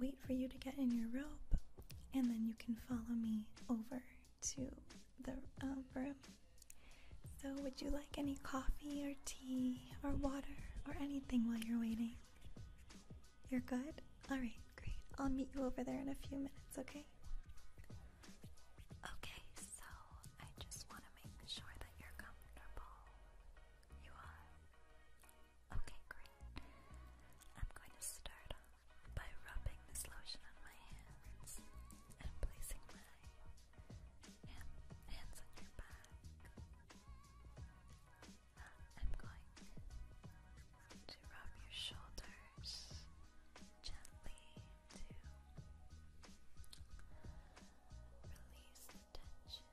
wait for you to get in your robe, and then you can follow me over to the um, room. So, would you like any coffee or tea or water or anything while you're waiting? You're good? Alright, great. I'll meet you over there in a few minutes, okay? Okay, so I just want to make sure that you're comfortable. You are? Okay, great. I'm going to start by rubbing this lotion on my hands and placing my hands on your back. Uh, I'm going to rub your shoulders gently to release tension.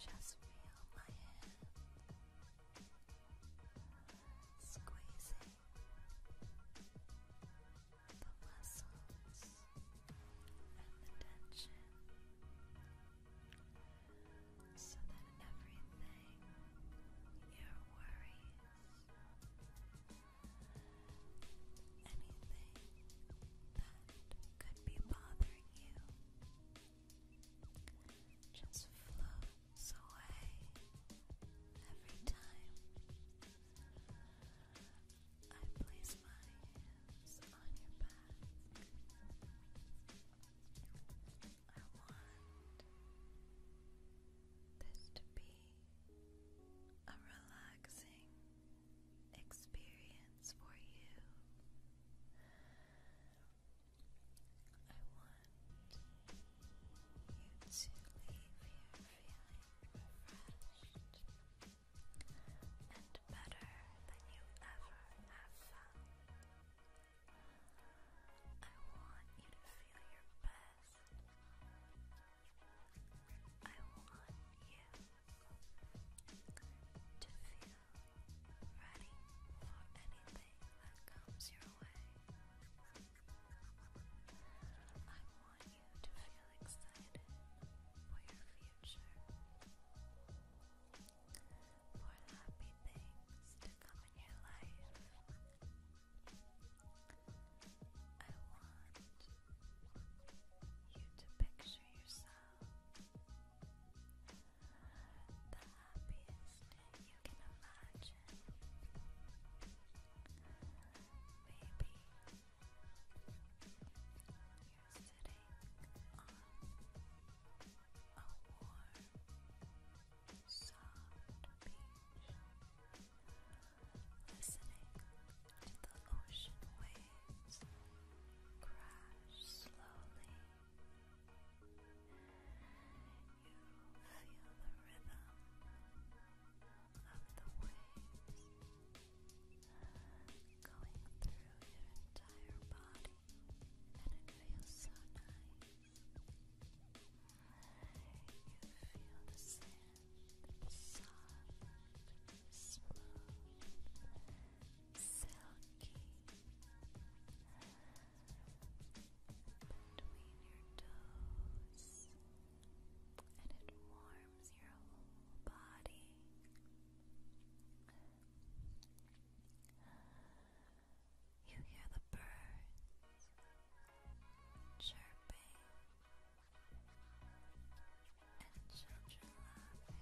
Just feel my hand squeezing the muscles and the tension so that everything, your worries, anything that could be bothering you just floats away every time I place my hands on your back. I want this to be a relaxing experience for you. I want you to leave here feeling refreshed and better than you ever have felt. I want you to feel your best. I want you to feel ready for anything that comes your way. I want you to feel excited for your future, for happy things to come in your life. I want you to picture yourself the happiest you can imagine. Maybe you're sitting on a warm, soft beach, listening the ocean waves crash slowly. You feel the rhythm of the waves going through your entire body, and it feels so nice. You feel the sand soft, smooth silky between your toes, and it warms your body. You hear the birds chirping and children laughing. And as you lay there,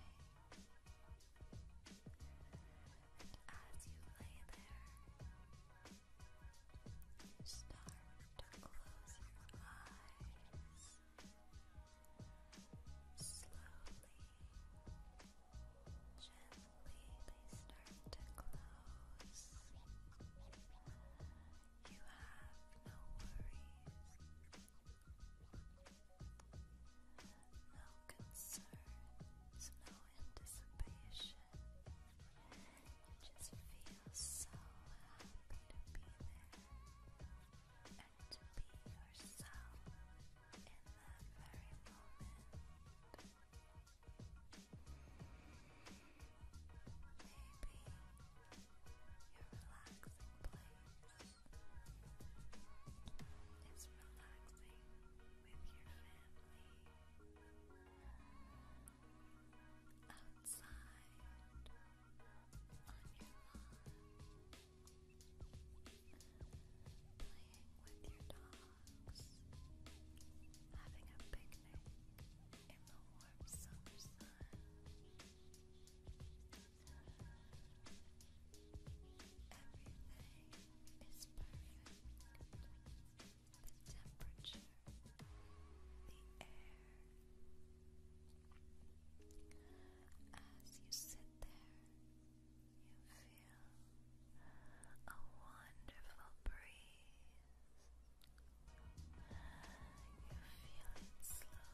start to close your eyes slowly. Gently, they start to close. You have no worries, no concerns, no anticipation. You just feel so happy to be there and to be yourself in that very moment. Maybe your relaxing place it's relaxing with your family outside on your lawn, playing with your dogs, having a picnic in the warm summer sun is perfect. The temperature, the air. As you sit there, you feel a wonderful breeze. You feel it slowly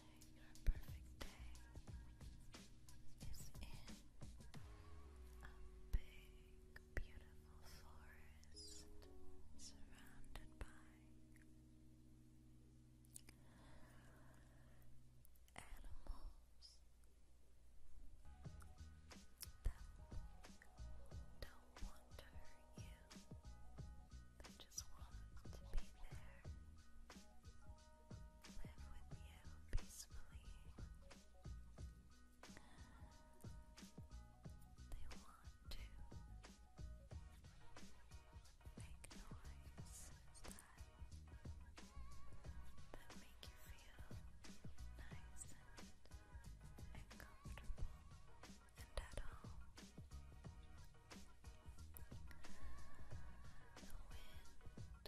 Your perfect day is in a big, beautiful forest surrounded by animals that don't want to hurt you. They just want to be there live with you peacefully. They want to make noises that, make you feel nice and comfortable and at home wind is gentle and as you look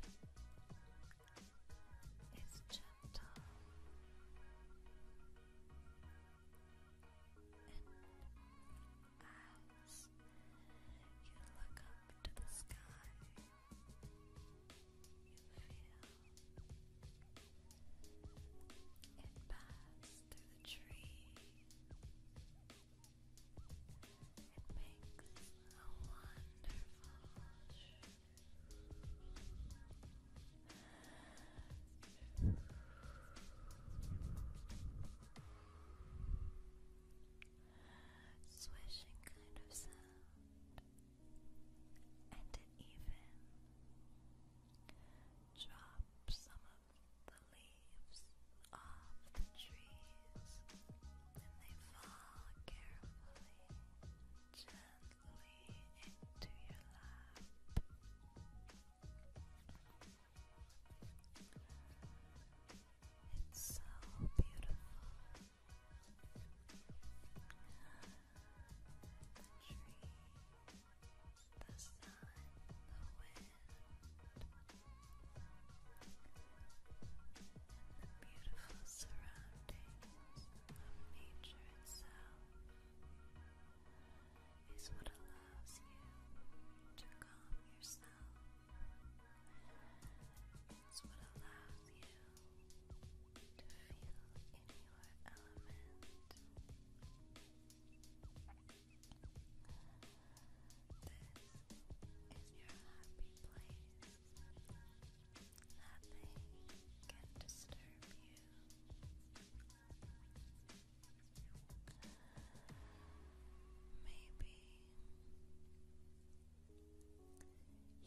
up to the sky, you feel it pass through the trees it makes a wonderful swishing kind of sound, and it even drops some of the leaves leaves off the trees and they fall carefully, gently into your lap. It's so beautiful. The tree, the sun, the wind. The beautiful surroundings nature itself is what allows you to calm yourself. It's what allows you to feel in your element is your happy place. Nothing can disturb you. Maybe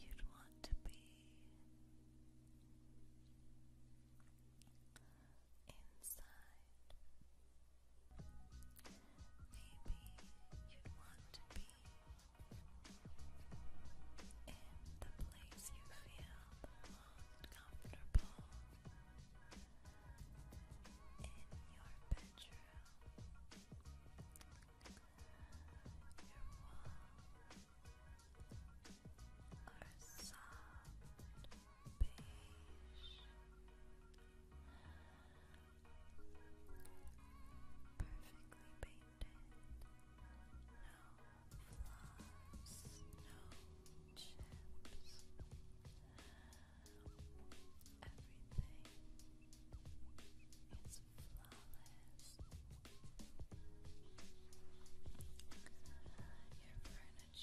you'd want to be inside Maybe you'd want to be in the place you feel most comfortable in your bedroom. Your walls are soft beige. Perfectly painted. No flaws, no chips. Everything is flawless.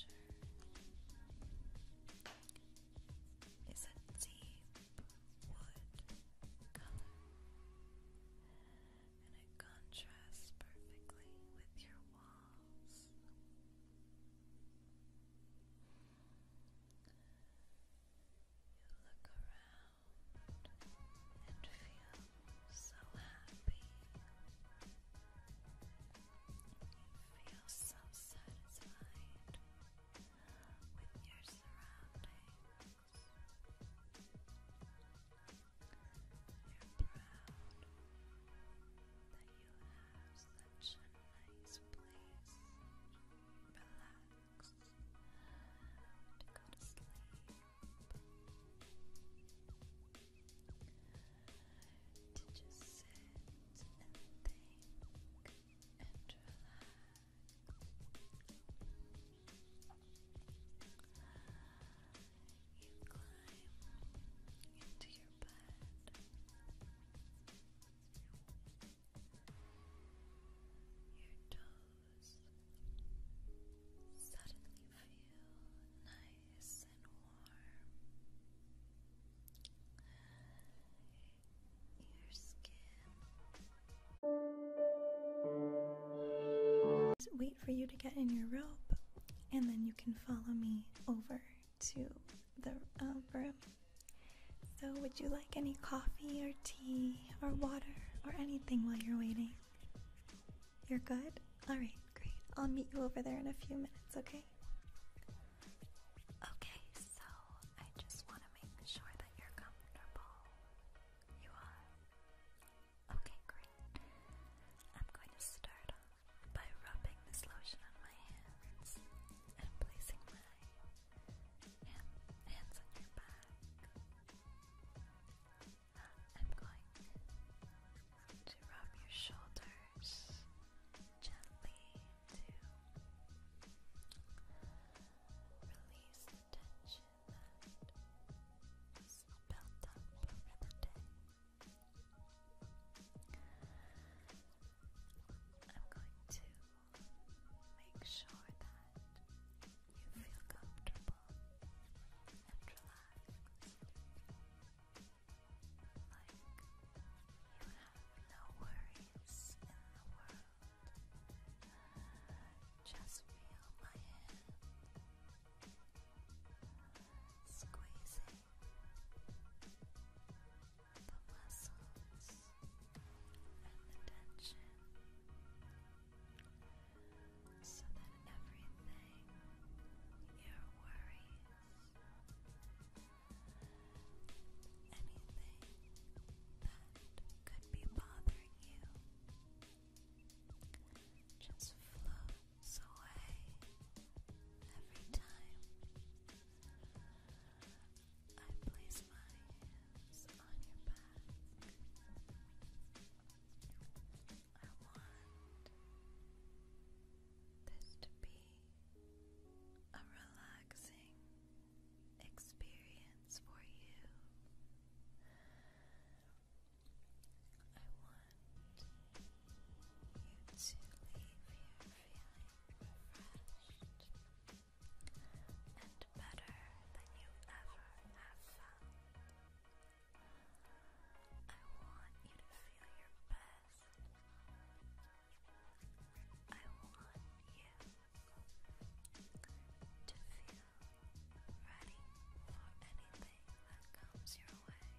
Your furniture is a deep wood color, and it contrasts perfectly with your walls. You look around and feel so happy. Feel so satisfied with your surroundings. You're proud that you have such a nice place. Relax go to sleep. To just sit and think and You climb into your bed. Your toes suddenly feel nice and warm wait for you to get in your robe, and then you can follow me over to the um, room. So, would you like any coffee or tea or water or anything while you're waiting? You're good? Alright, great. I'll meet you over there in a few minutes, okay? Okay, so I just want to make sure that you're comfortable. You are? Okay, great. I'm going to start off by rubbing this lotion on my hands and placing my hands on your back. I'm going to rub your shoulders gently to release tension that built up over the day. I'm going to make sure that you feel comfortable and relaxed. Like you have no worries in the world. Just feel my hand squeezing the muscles and the tension so that everything your worries anything that could be bothering you just floats away every time I place my hands on your back. I want this to be be a relaxing experience for you. I want you to leave here feeling refreshed and better than you ever have felt. I want you to feel your bed I want you to feel ready for anything that comes your way. I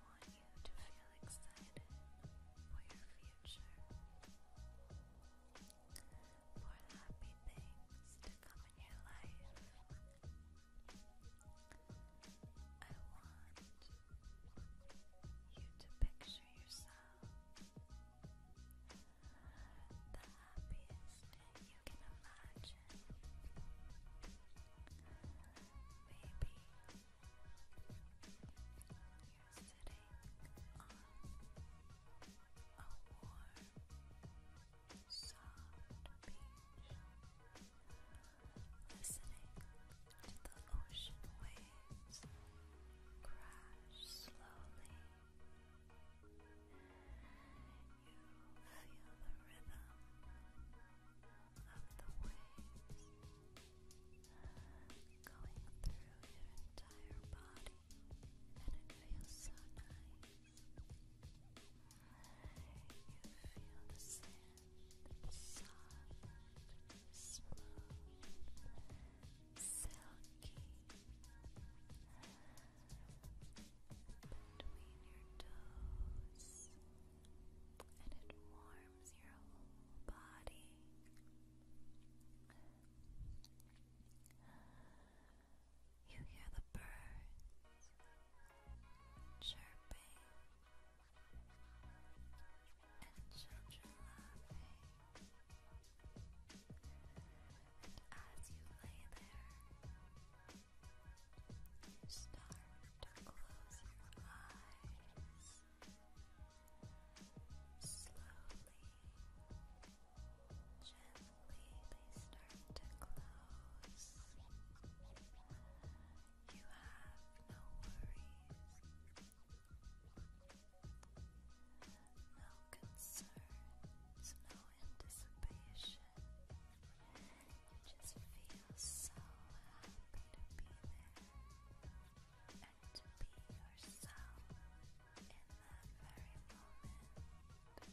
want you to feel excited for your future, for happy things to come in your life. I want you to picture yourself the happiest you can imagine. Maybe you're sitting on a warm, soft beach listening to the ocean waves crash slowly. You feel the rhythm of the waves going through your entire body, and it feels so nice feel the sand soft, smooth, silky between your toes, and it warms your whole body. You hear the birds chirping and children laughing. And as you lay there, you start to close your eyes slowly. Gently, they start to close. You have no worries, no concerns, no anticipation. You just feel so happy to be there and to be yourself in that very moment.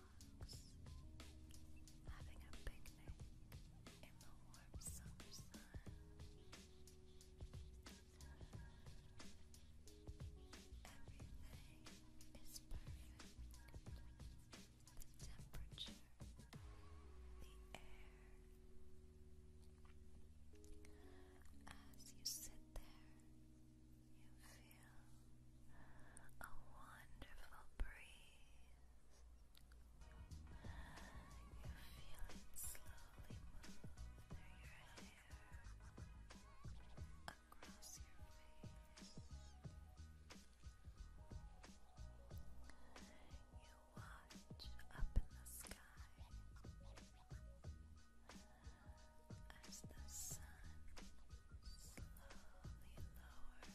frogs, having a picnic in the warm summer sun. Everything is perfect. The temperature, the air. As you sit there, you feel a wonderful breeze. You feel it slowly move your hair, across your face. You watch up in the sky as the sun slowly lowers.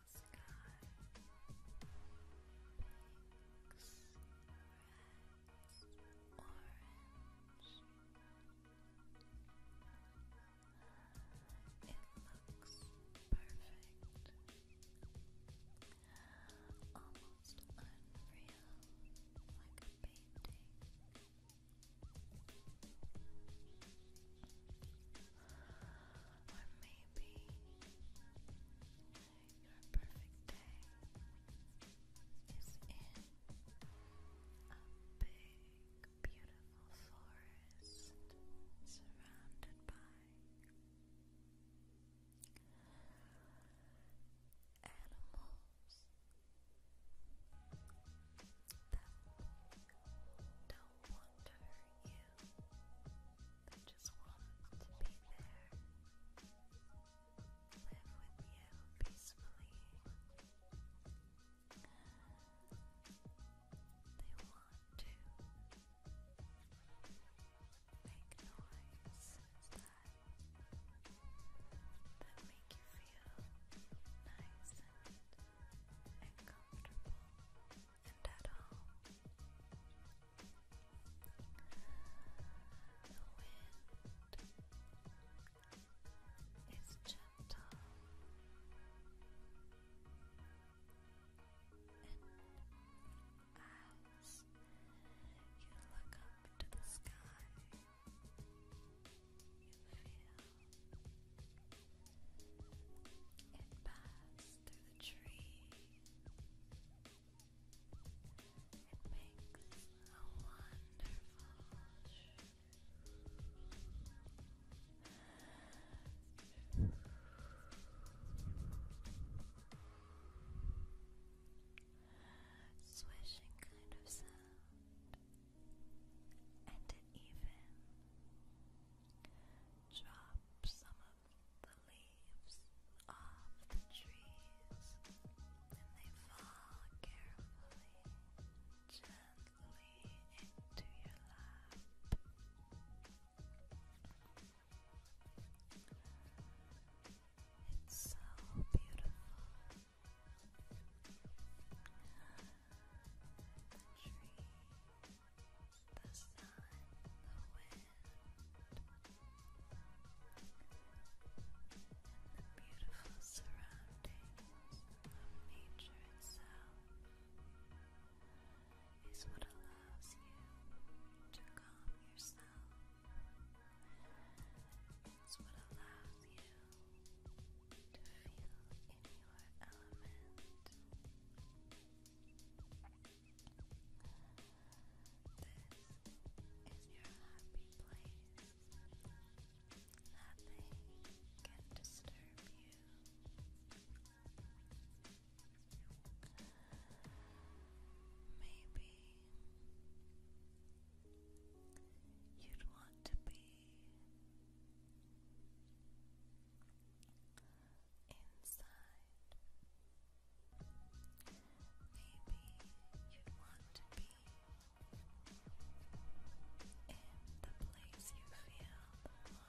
the sky. Pinks, reds, orange. It looks perfect. Almost unreal, like a painting or maybe your perfect day is in a big, beautiful forest surrounded by animals that don't want to hurt you that just want to be there, live with you peacefully. They want to make noises that, make you feel nice and comfortable and at home. The wind is gentle and as you look up to the sky, you feel it passed through the tree. It makes a wonderful swishing kind of sound, and it even Drop some of the leaves off the trees and they fall carefully, gently into your lap. It's so beautiful the sun, the wind, beautiful surroundings nature itself is what allows you to calm yourself. It's what allows you to feel in your element. This is your happy place. Nothing can disturb you. Maybe you'd want to be inside. Maybe you want to be in the place you feel the most comfortable in your bedroom.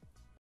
Your wall